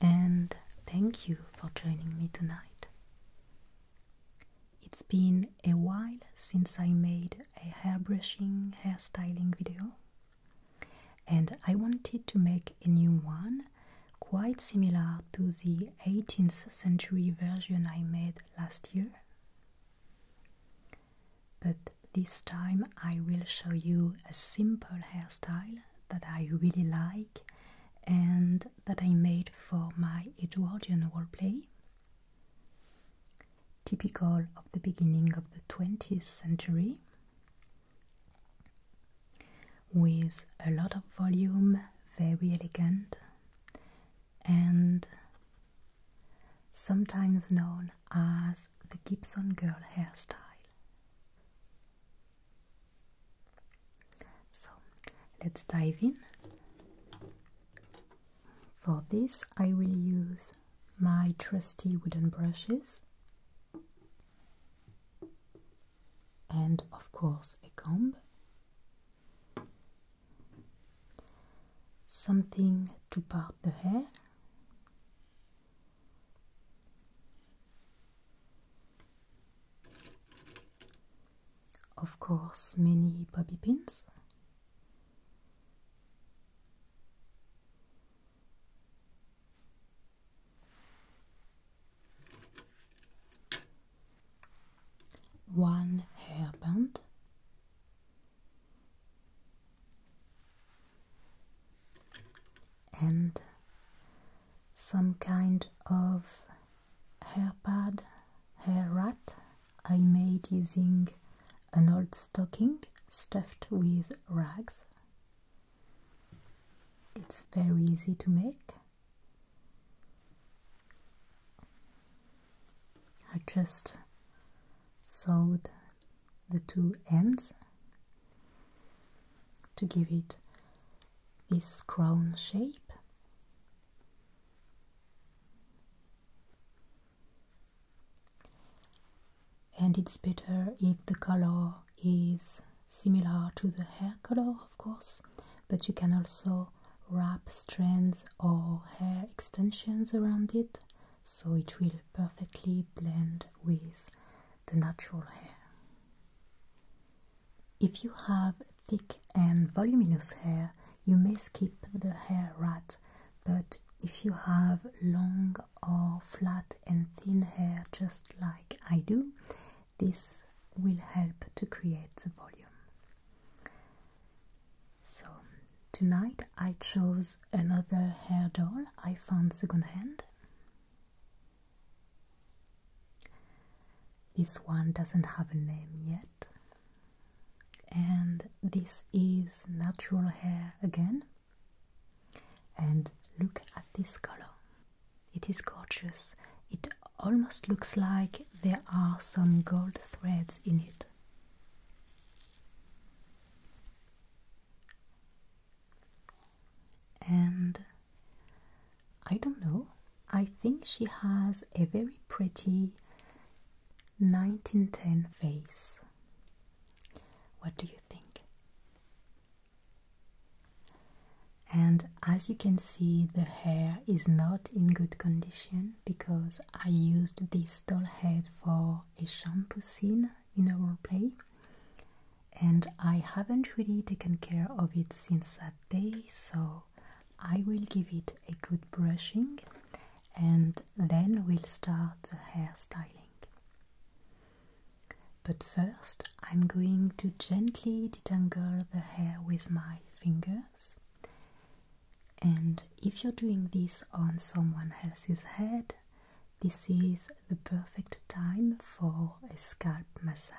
and thank you for joining me tonight. It's been a while since I made a hairbrushing, hairstyling video, and I wanted to make a new one quite similar to the 18th century version I made last year. But this time I will show you a simple hairstyle that I really like and that I made for my Edwardian wordplay, typical of the beginning of the 20th century, with a lot of volume, very elegant, and sometimes known as the Gibson Girl hairstyle. So let's dive in. For this, I will use my trusty wooden brushes and, of course, a comb. Something to part the hair. Of course, many poppy pins. One hairband and some kind of hair pad, hair rat I made using an old stocking stuffed with rags. It's very easy to make. I just sewed the two ends to give it this crown shape. And it's better if the color is similar to the hair color, of course, but you can also wrap strands or hair extensions around it so it will perfectly blend with the natural hair. If you have thick and voluminous hair, you may skip the hair rat, but if you have long or flat and thin hair, just like I do, this will help to create the volume. So, tonight I chose another hair doll I found secondhand. This one doesn't have a name yet. And this is natural hair again. And look at this color. It is gorgeous. It almost looks like there are some gold threads in it. And I don't know. I think she has a very pretty 1910 face. What do you think? And as you can see, the hair is not in good condition because I used this doll head for a shampoo scene in a role play and I haven't really taken care of it since that day, so I will give it a good brushing and then we'll start the hairstyling. But first, I'm going to gently detangle the hair with my fingers. And if you're doing this on someone else's head, this is the perfect time for a scalp massage.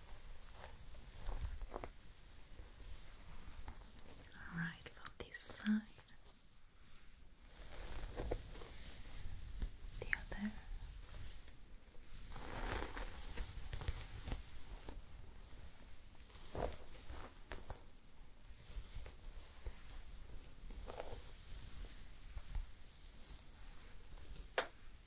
All right, for this side, the other.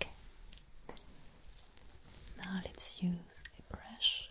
Okay. Now let's use a brush.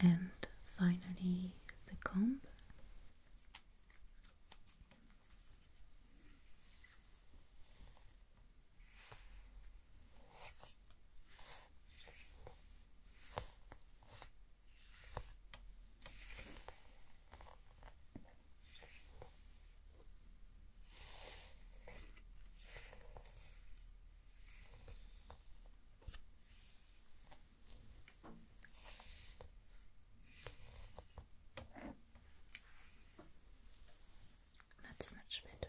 and finally the comb. That's much better.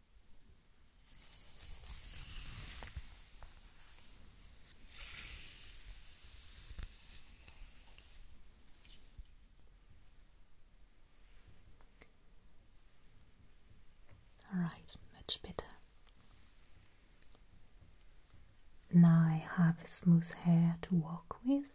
All right, much better. Now I have smooth hair to walk with.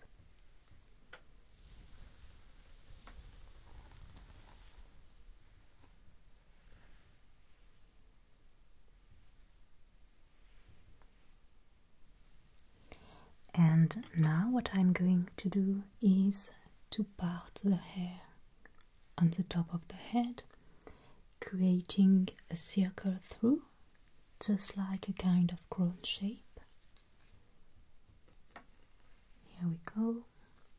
And now what I'm going to do is to part the hair on the top of the head, creating a circle through, just like a kind of crown shape. Here we go.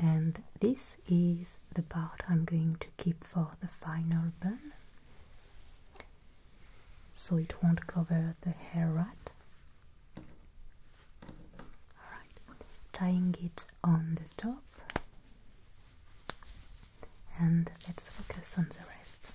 And this is the part I'm going to keep for the final bun so it won't cover the hair rat. Alright, tying it on the top and let's focus on the rest.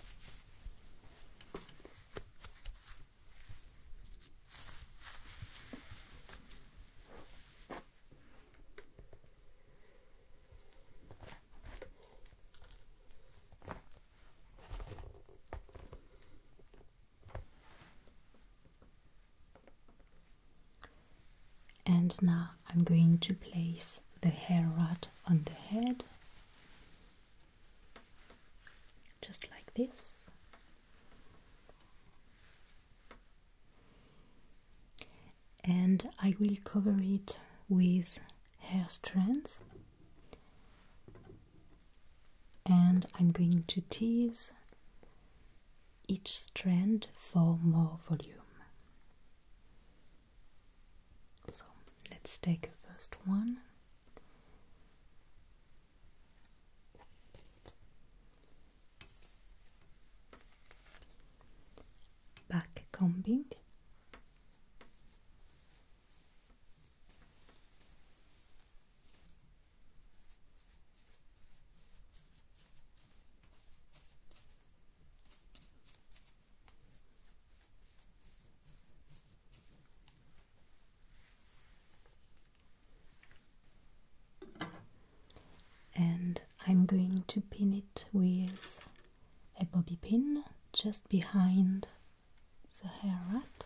And now I'm going to place the hair rod on the head, just like this. And I will cover it with hair strands. And I'm going to tease each strand for more volume. So let's take a first one. Back combing. And I'm going to pin it with a bobby pin just behind the hair rat.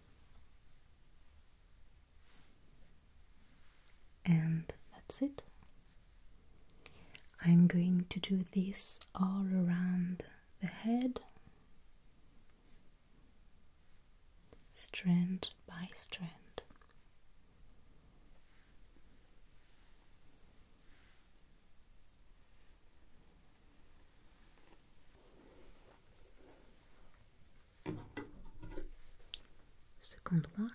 And that's it. I'm going to do this all around the head, strand by strand. Second one.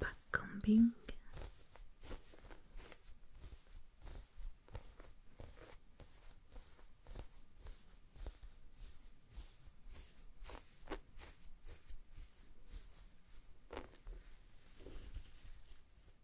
Back combing.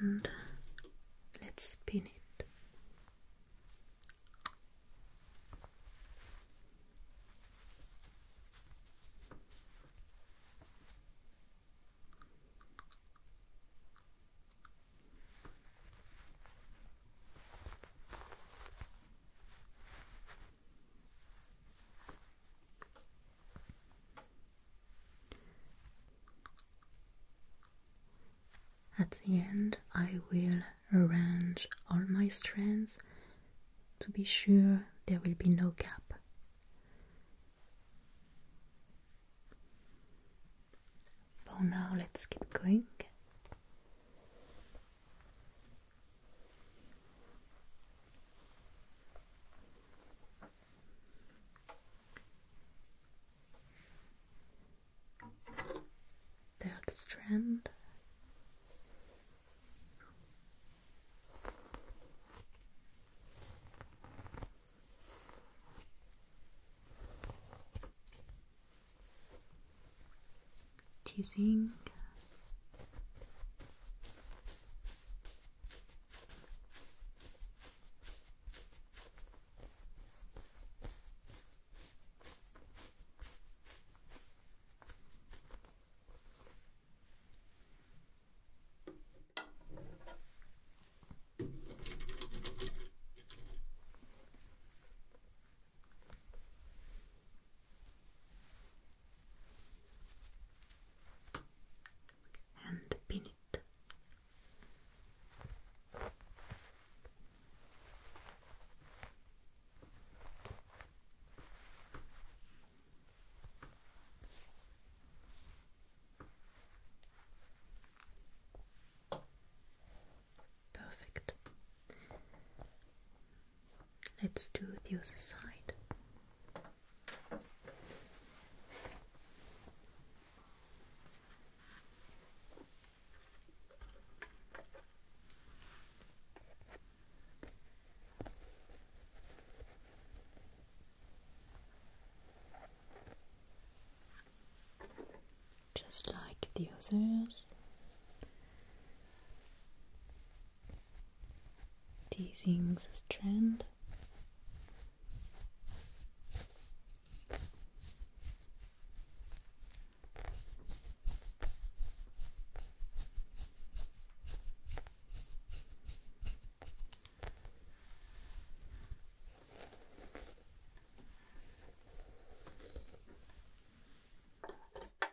and let's spin it. At the end, I will arrange all my strands to be sure there will be no gap. For now, let's keep going. Third strand teasing and pin it. Perfect. Let's do the other side. Just like the others, teasing the strand.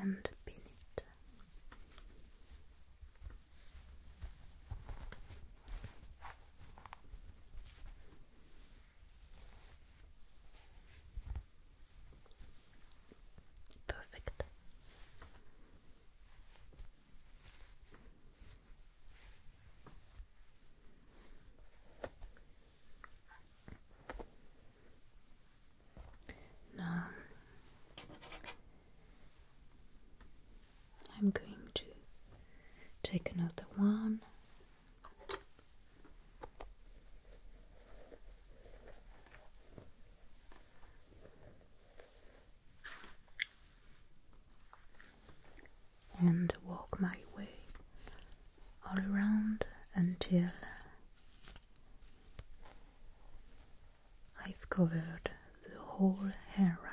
and pin it. Perfect. Now I'm going to take another one. And walk my way all around until I've covered the whole hair rat.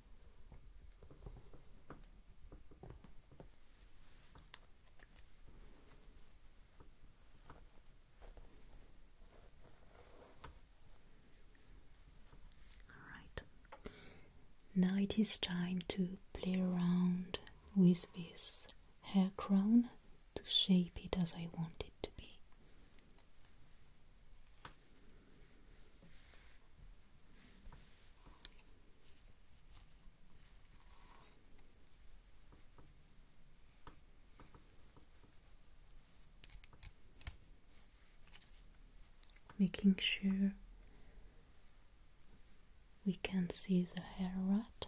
All right. Now it is time to play around with this hair crown to shape it as I want it to be. Making sure we can see the hair rat.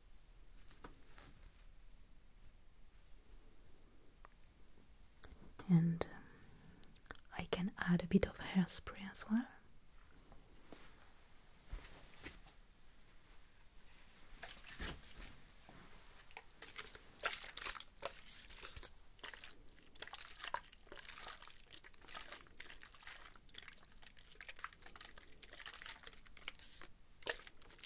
and um, I can add a bit of hairspray as well.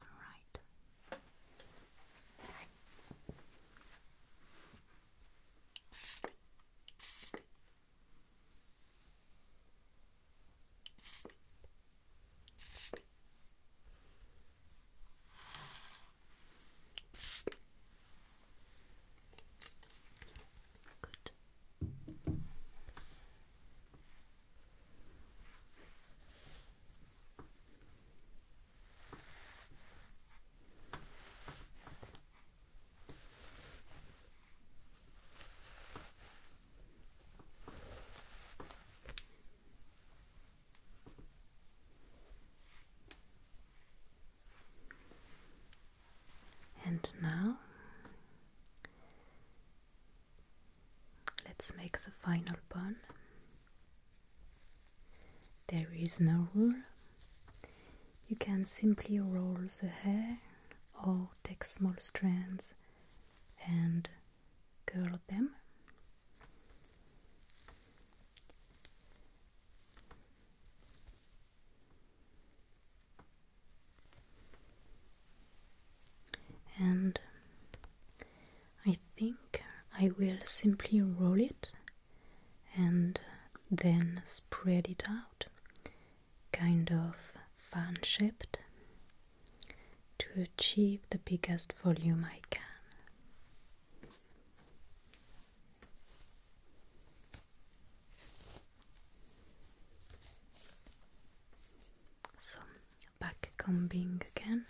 Right. Good. And now let's make the final bun there is no rule. You can simply roll the hair or take small strands and curl them. And I think I will simply roll it and then spread it out, kind of fan shaped, to achieve the biggest volume I can. So back combing again.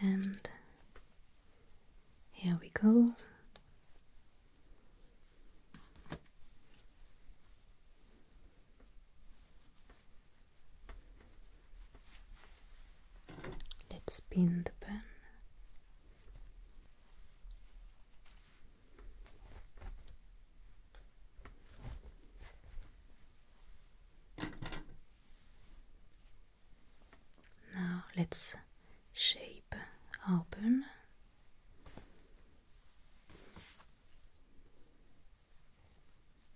And here we go. Let's spin the pen. Now let's shape our pen.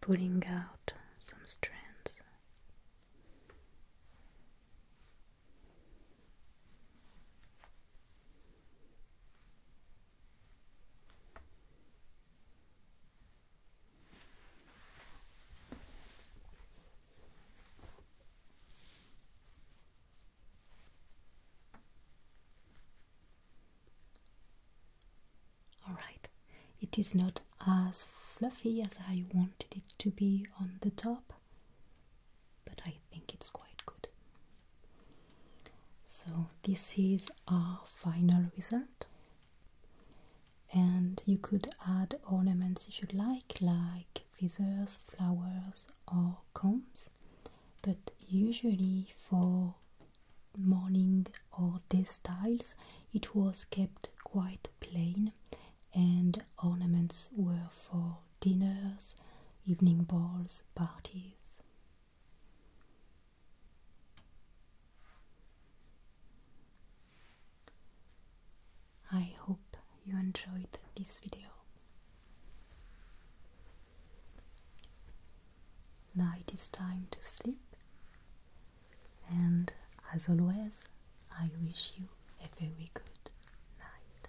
pulling out some strands. Alright, it is not as fluffy as I wanted it to be on the top, but I think it's quite good. So, this is our final result. And you could add ornaments if you like, like feathers, flowers, or combs but usually for morning or day styles it was kept quite plain and ornaments were for dinners, evening balls, parties. I hope you enjoyed this video. Now it is time to sleep, and as always, I wish you a very good night.